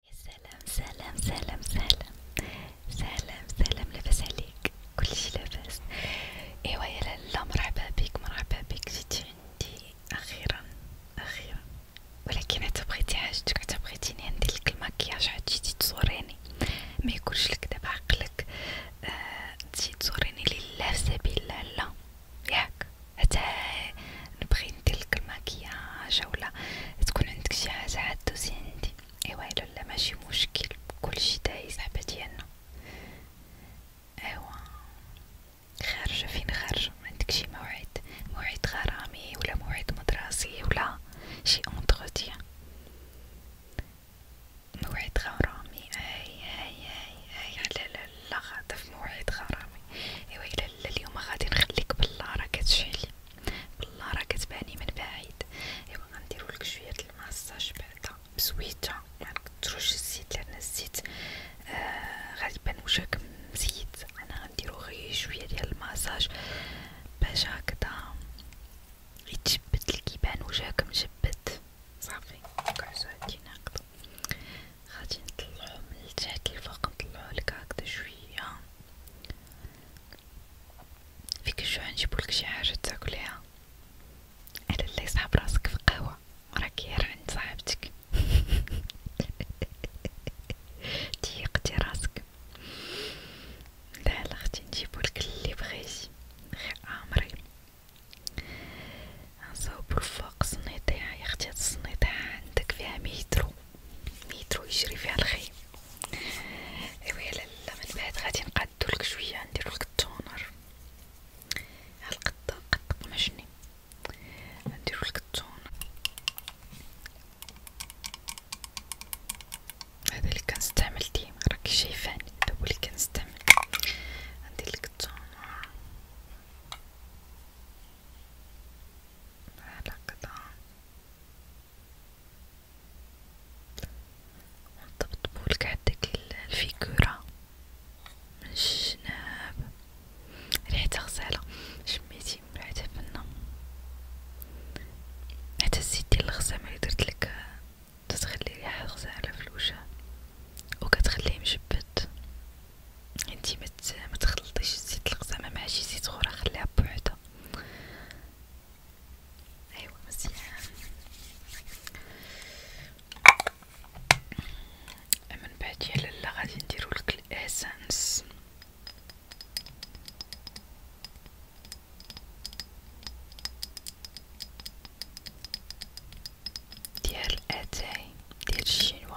سلام سلام سلام سلام سلام سلام لاباس عليك كلشي لاباس ايوا يا لالا مرحبا بك مرحبا بك جيتي عندي اخيرا اخيرا ولكن عاد بغيتي حاجتك عاد بغيتيني ندير لك المكياج عاد جيتي تزوريني ما يكونش لك دابا عقلك آه، تجي آه تزوريني لله في سبيل الله ياك حتى نبغي ندير لك الماكياج ولا تكون عندك شي حاجه عاد دوزي عندي ايوا الا لا ماشي مشكل كلشي دايز صاحبه ديالنا ايوا خارجه فين خارجه ما عندك شي موعد موعد غرامي ولا موعد مدرسي ولا شي اونتروتيان موعد غرامي اي اي اي اي لا لا لا غادا في موعد غرامي ايوا الا اليوم غادي نخليك بالله راه كتشعلي بالله راه كتباني من بعيد ايوا غنديرولك شويه الماساج بعدا بزويته يعني كترش الزيت لان الزيت آه غالبا وجهك مزيت انا غنديرو غير شويه ديال الماساج باش هكذا يتجبد لك يبان وجهك مجبد صافي كعسو هادين هكذا غادي نطلعو من تحت لفوق نطلعو لك هكذا شويه فيك الجوع نجيبولك شي حاجة تاكليها على اللي صعب راسك في القهوة راك يار عند صاحبتك ضيقتي راسك لا لا اختي نجيبولك اللي بغيتي غير امري نصاوبو الفوق صنيطيها يا اختي هاد الصنيطيها عندك فيها ميترو مترو يجري فيها الخيم ايوا لا لا من بعد غادي نقادولك شويه نديرولك التونر ها القطه قد قماشني نديرولك التونر هذا اللي كنستعمل ديما راكي شايفاني هذا هو اللي كنستعمل نديرلك التونر على قطعة ونطبطبولك عندك الفيكورة من الشناب ريحتها غزالة شميتي ريحتها فنة حتى الزيت ديال الغسامة لي درتلك تتخلي ريحة غزالة في الوجه وكتخليه مجبد انتي ما تخلطيش الزيت القزامه مع شي زيت اخرى خليها بوحدها ايوا مزيان من بعد يا لالا غادي نديرولك الاسانس ديال اتاي ديال الشينوا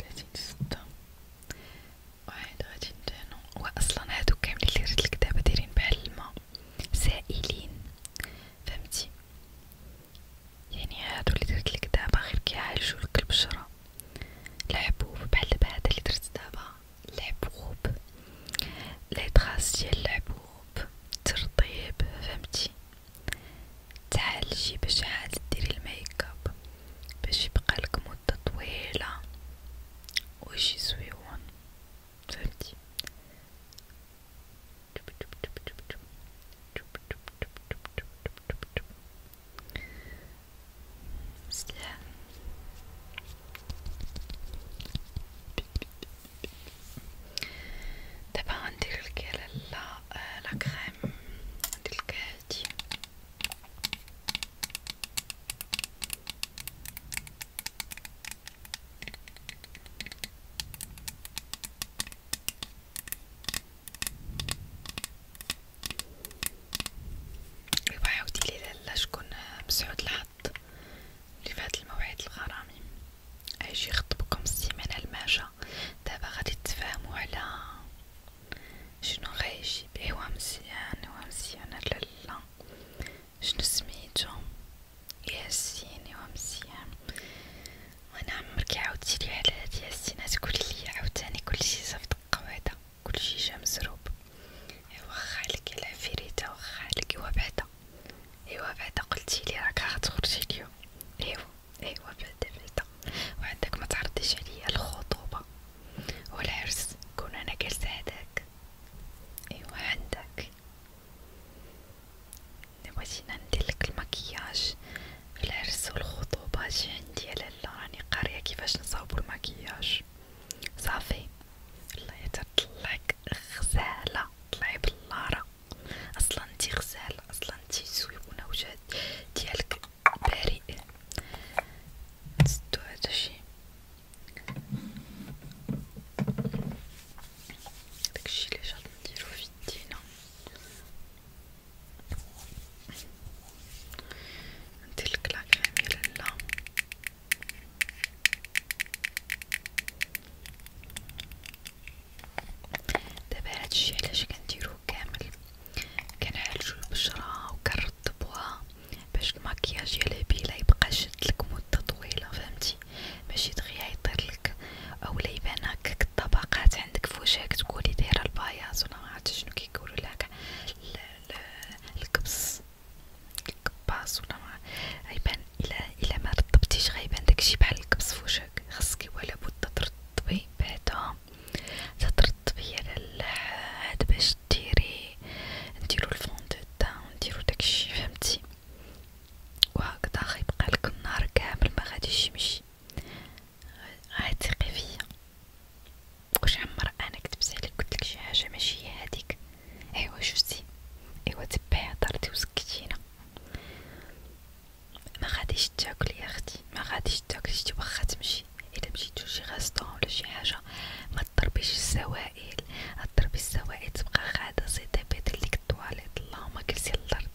ثلاثين ستة واحد غادي ندهنو وأصلا هادو كاملين لي ريت الكدابة دايرين بحال الما سائلين فهمتي يعني هادو لي درت لك دابا غير كيعالجو لك البشرة الحبوب بحال دابا هدا لي درت دابا الحبوب لي طراس ديال الحبوب ترطيب فهمتي تعالجي باش عاد ديري الميك اب باش يبقالك مدة طويلة وشي زويون فهمتي سلام دابا غندير لك على لا كريم غندير لك هادي ايوا عاوديلي لالا شكون مسعود الحظ اللي فهاد الموعد الغرامي اجي يخطبكم السيمانة الماجة دابا غادي تفاهموا على شنو غيجيب ايوا مزيان ايوا مزيان لالا شنو سميتو ياسين ايوا مزيان وانا عمرك عاودتي لي على هاد ياسين تقولي لي عاوتاني كلشي صافط قواده كلشي جا مزروب ايوا واخا عليك العفريته واخا عليك ايوا بعدا ايوا بعدا قلتيلي راك غتخرجي اليوم ايوا ايوا بعدا بعدا وعندك ما تعرضيش عليا الخطوبه والعرس كون انا جالسه هداك ايوا عندك بغيتينا نديرلك المكياج في العرس والخطوبه جي عندي يا لالا راني قاريه كيفاش نصاوبو المكياج صافي الله يتطلعك غزاله طلعي بالله اصلا انتي غزالة اصلا انتي زويبونة وجهد ديالك بريء نسدو هذا الشي داكشي لي جات نديرو في يدينا ندير لك لاكريم يا لالا دابا هادشي علاش كنديروه كامل كنعالجو البشرة وكنرطبوها باش المكياج ديال الهبيلة يبقى شدلك مدة طويلة فهمتي ماشي دغيا يطيرلك اولا يبان هكاك الطبقات عندك في وجهك تقولي دايرة البياض ولا معرفت شنو كيقولو لها الكبس الكباس ولا ما يبان الا الا ما رطبتيش غيبان داكشي بحال الكبس فوشك خصك ولا بد ترطبي بعدا تترطبي على هاد باش ديري نديرو الفوندو تاع نديرو داكشي فهمتي وهكذا غيبقى لك النهار كامل ما غاديش يمشي عتقي فيا واش عمر انا كتبت عليك قلت لك شي حاجه ماشي هي هذيك ايوا شفتي ايوا تبعي هضرتي وسكتينا ما غاديش تاكل يا اختي ما غاديش تاكلي انت واخا تمشي الا مشيتو شي غاستون ولا شي حاجه ما تضربيش السوائل تضربي السوائل تبقى قاعده سيتي بيت ليك الطواليت اللهم كلسي الارض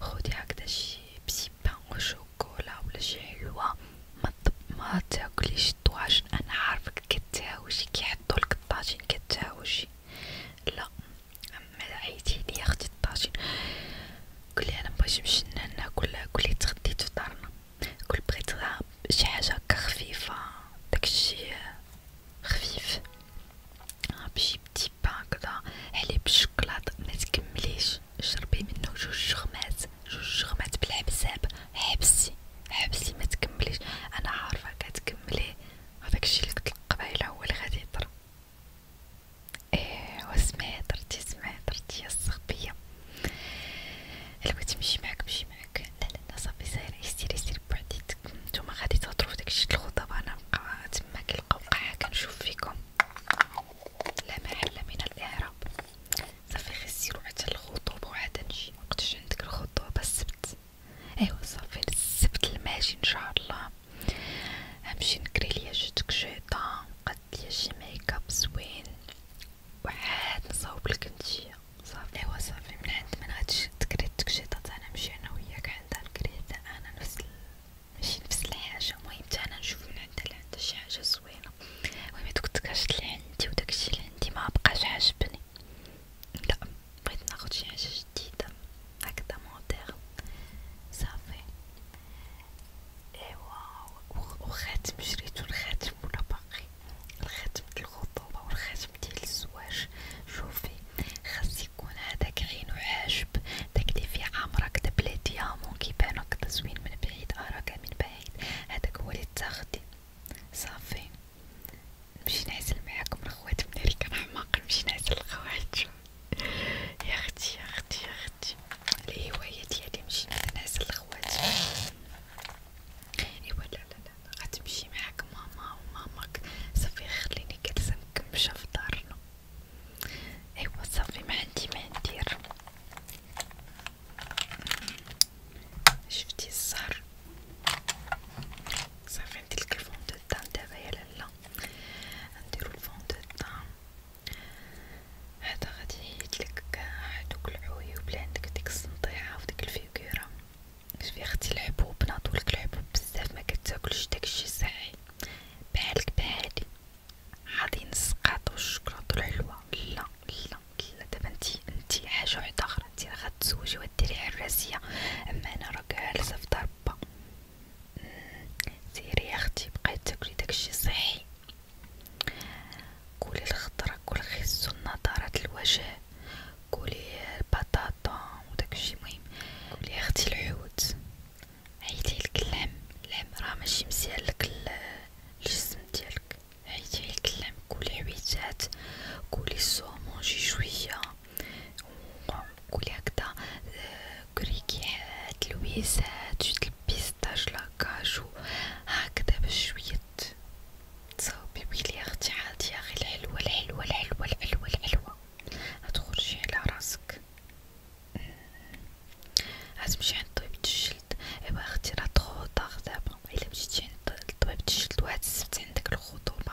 خدي هكذا شي بسي بان وشوكولا ولا شي حلوه ما ما تاكليش الطواجن انا عارفك كتهاوشي كيحطوا لك الطاجين كتهاوشي لا اما عيتي لي اختي الطاجين قولي انا مبغيتش نمشي ناكل قولي تغديت فطرنا قول بغيت شي حاجه هكا خفيفه داكشي خفيف بشي بتي با هكذا حليب الشكلاط ما تكمليش شربي منه جوج شغمات جوج شغمات بالحبساب حبسي حبسي ما تكمليش انا عارفه كتكملي هذاك الشي اللي قلت قبيله هو اللي غادي يطرى ايه وسمعت درتي سمعت درتي يا الصغبيه الا بغيتي نمشي معاك نمشي معاك لا لا صافي ساير يسير يسير بوحديتك نتوما غادي تهضروا في داكشي الخطاب انا نبقى تما كنلقى وقعه كنشوف فيكم لا محل من الاعراب صافي غير سيروا حتى الخطوبه وعاد نجي مبقيتش عندك الخطوبه السبت ايوا صافي السبت الماجي ان شاء الله همشي نكري ليا شي تكشيطه نقد ليا شي ميك اب زوين وعاد نصاوب لك نتيا صافي ايوا صافي من عند من غادي تكري التكشيطه تاع انا نمشي انا وياك عندها نكري حتى انا نفس ماشي نفس الحاجه المهم حتى انا نشوف من عندها اللي عندها شي حاجه زوينه المهم دوك التكاشط اللي عندي وداكشي اللي عندي ما بقاش عاجبني لا بغيت ناخد شي حاجة جديدة هكذا مودرن صافي ايوا وخاتم شريتو الخاتم ولا باقي الخاتم ديال الخطوبة والخاتم ديال الزواج شوفي خاص يكون هذاك عينو حاجب داك اللي فيه عامرة كدا بلا ديامون كيبانو كدا زوين من بعيد اراك من بعيد هذاك هو اللي تاخدي صافي نمشي نعزل معاكم الخوات من هذيك الحماق نمشي نعزل الخوات يا اختي يا اختي يا اختي الهوايه ديالي نمشي يعني نعزل الخوات ايوا لا لا لا غتمشي معاك ماما وماماك صافي خليني جالسه نكمشه في دارنا ايوا صافي ما عندي ما ندير شفتي الزهر صافي عندك الفون دو تان دابا يا لالا نديرو الفون دو تان هذا غادي يحيدلك كاع دوك العيوب اللي عندك ديك السنطيحه وديك الفيكوره شوفي اختي الحبوب ناضولك الحبوب بزاف ما كتاكلش داكشي صحي بحالك بحالي غادي نسقط والشكلاط والحلوى لا لا لا دابا نتي نتي حاجه وحده اخرى نتي غتزوجي وديري حراسيه اما انا راه جالسه في دار مربى سيري يا تاكلي داكشي صحي كولي الخضره كل خس نضاره الوجه كولي البطاطا وداكشي مهم كولي اختي الحوت عيدي اللحم اللحم راه ماشي مزيالك الجسم ديالك عيدي اللحم كولي حويتات كولي الصومون شي شويه وكولي هكدا كريكيحات لويسات جوج البيستاج لاكاجو هكدا بشوية تصاوبي ويلي اختي عادي اخي الحلوة الحلوة الحلوة الحلوة الحلوة هتخرجي على راسك هتمشي عند طبيب الجلد ايوا اختي راه طخو دابا الا مشيتي عند طبيب الجلد وهاد السبت عندك الخطوبة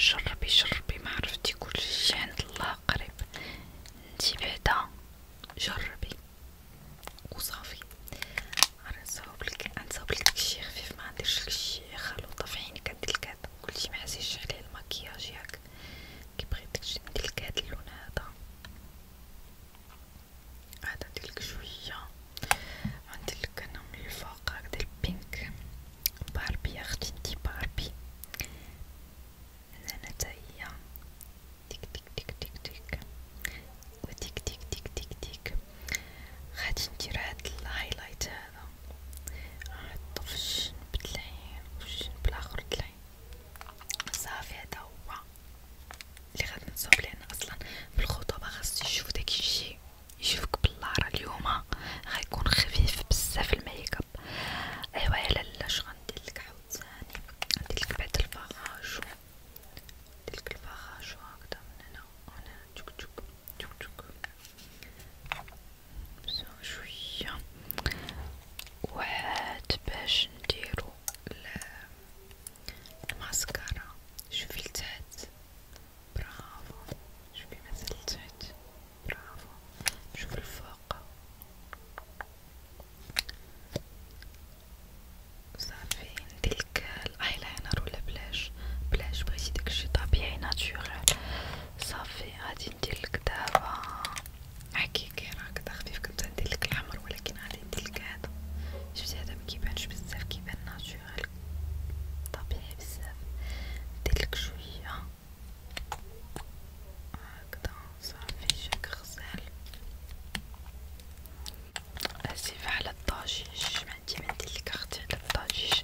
جربي جربي معرفتي كل شي عند الله قريب انتي بعدا جربي وصافي انا نصاوبلك نصاوبلك داكشي خفيف ما نديرش داكشي خلوطه في عينك عند الكاد كلشي محاسيش عليه المكياج ياك كيبغي داكشي ندير الكاد اللون هذا هذا ديالك شويه عندي لك انا من الفوق هكذا البينك باربي يا اختي انتي باربي انا تاهي تيك تيك تيك تيك تيك وتيك تيك تيك تيك تيك غادي ندير هاد الهايلايت هذا نحطو في الجنب تلعين والجنب الاخر تلعين صافي هدا هو لي غادي نصاوب لان اصلا في الخطوبة خاصني نشوف داكشي يشوفك بالله راه اليوم غيكون خفيف بزاف الميكاب ايوا يا لالا اش غنديرلك عاوتاني غنديرلك بعد الفاغاج ديرلك الفاغاج هكدا من هنا هنا تشك تشك تشك تشك بزاف شويه وعاد باش نديرو الماسكارا شوفي لتحت برافو شوفي مازال تحت برافو شوفي الفوق صافي نديلك الايلاينر ولا بلاش بلاش بغيتي داكشي طبيعي ناتشورال صافي غادي نديرلك دابا حقيقي راه كدا خفيف كنت نديرلك الحمر ولكن غادي نديرلك هذا شفتي هذا مكيبانش بزاف كيبان ناتشورال ناتشورال طبيعي بزاف نديرلك شوية هكدا صافي شاك غزال اسفة على الضجيج معندي منديلك اختي على الضجيج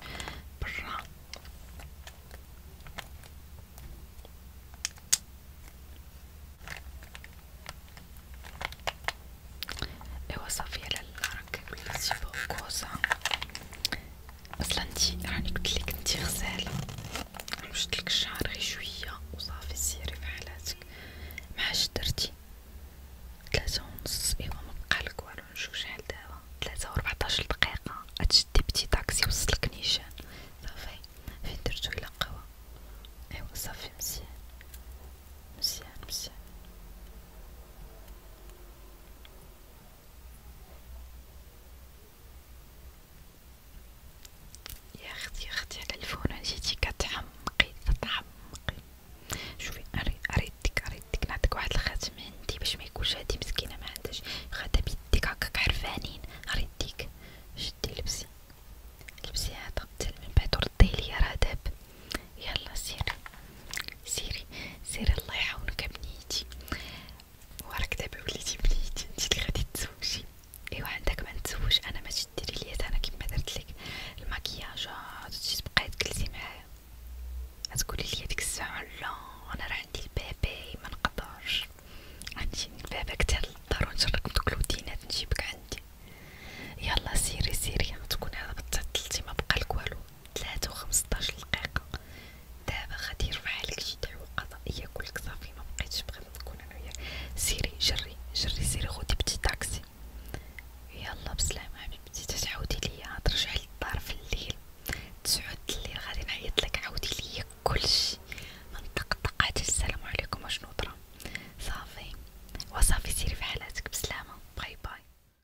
برا ايوا صافي على راك بلاتي فوق كوسا اصلا انتي راني يعني قلتلك انتي غزالة يعني مشتلك الشعر غي شوية وصافي سيري في حالاتك معاش درتي تلاتة ونص ايوا مبقالك والو نشوف شحال دابا تلاتة وربعطاش دقيقة غتشدي بتي طاكسي وصلك نيشان صافي فين درتو الى قهوة ايوا صافي مزيان مزيان مزيان يا اختي يا اختي على الفون جيتي كتحمقي كتحمقي شوفي اريدك اريدك نعطيك واحد الخاتم عندي باش ما يكونش هادي مسكينه ما عندهاش خاتم بيديك هكاك حرفانين اريدك شدي لبسي لبسي هذا حتى من بعد رديه ليا راه داب يلا سيري سيري سيري الله يعاونك بنيتي وراك دابا وليتي بنيتي انت اللي غادي تزوجي ايوا عندك ما نتزوج انا ماشي ديري ليا انا كيما درت لك المكياجات آه، تجي تبقاي تجلسي معايا غتقولي لي ديك الساعه لا انا راه عندي البيبي ما نقدرش غنجي البابا كتر للدار ونشرك بدوك الودينات نجيبك عندي يلا سيري سيري تكون هذا بتعطلتي ما بقى لك والو 3 وخمسطاش دقيقة دابا غادي يرفعلك شي دعوة قضائية كلك صافي مبقيتش بغيت نكون انا وياك سيري جري جري سيري خدي بتي طاكسي يلا بسلامة حبيبتي تتعاودي ليا ترجعي للدار في الليل تسعود الليل غادي نعيط لك عاودي ليا كلشي منطقطق عاد السلام عليكم وشنو طرا صافي وصافي سيري في حالاتك بسلامة باي باي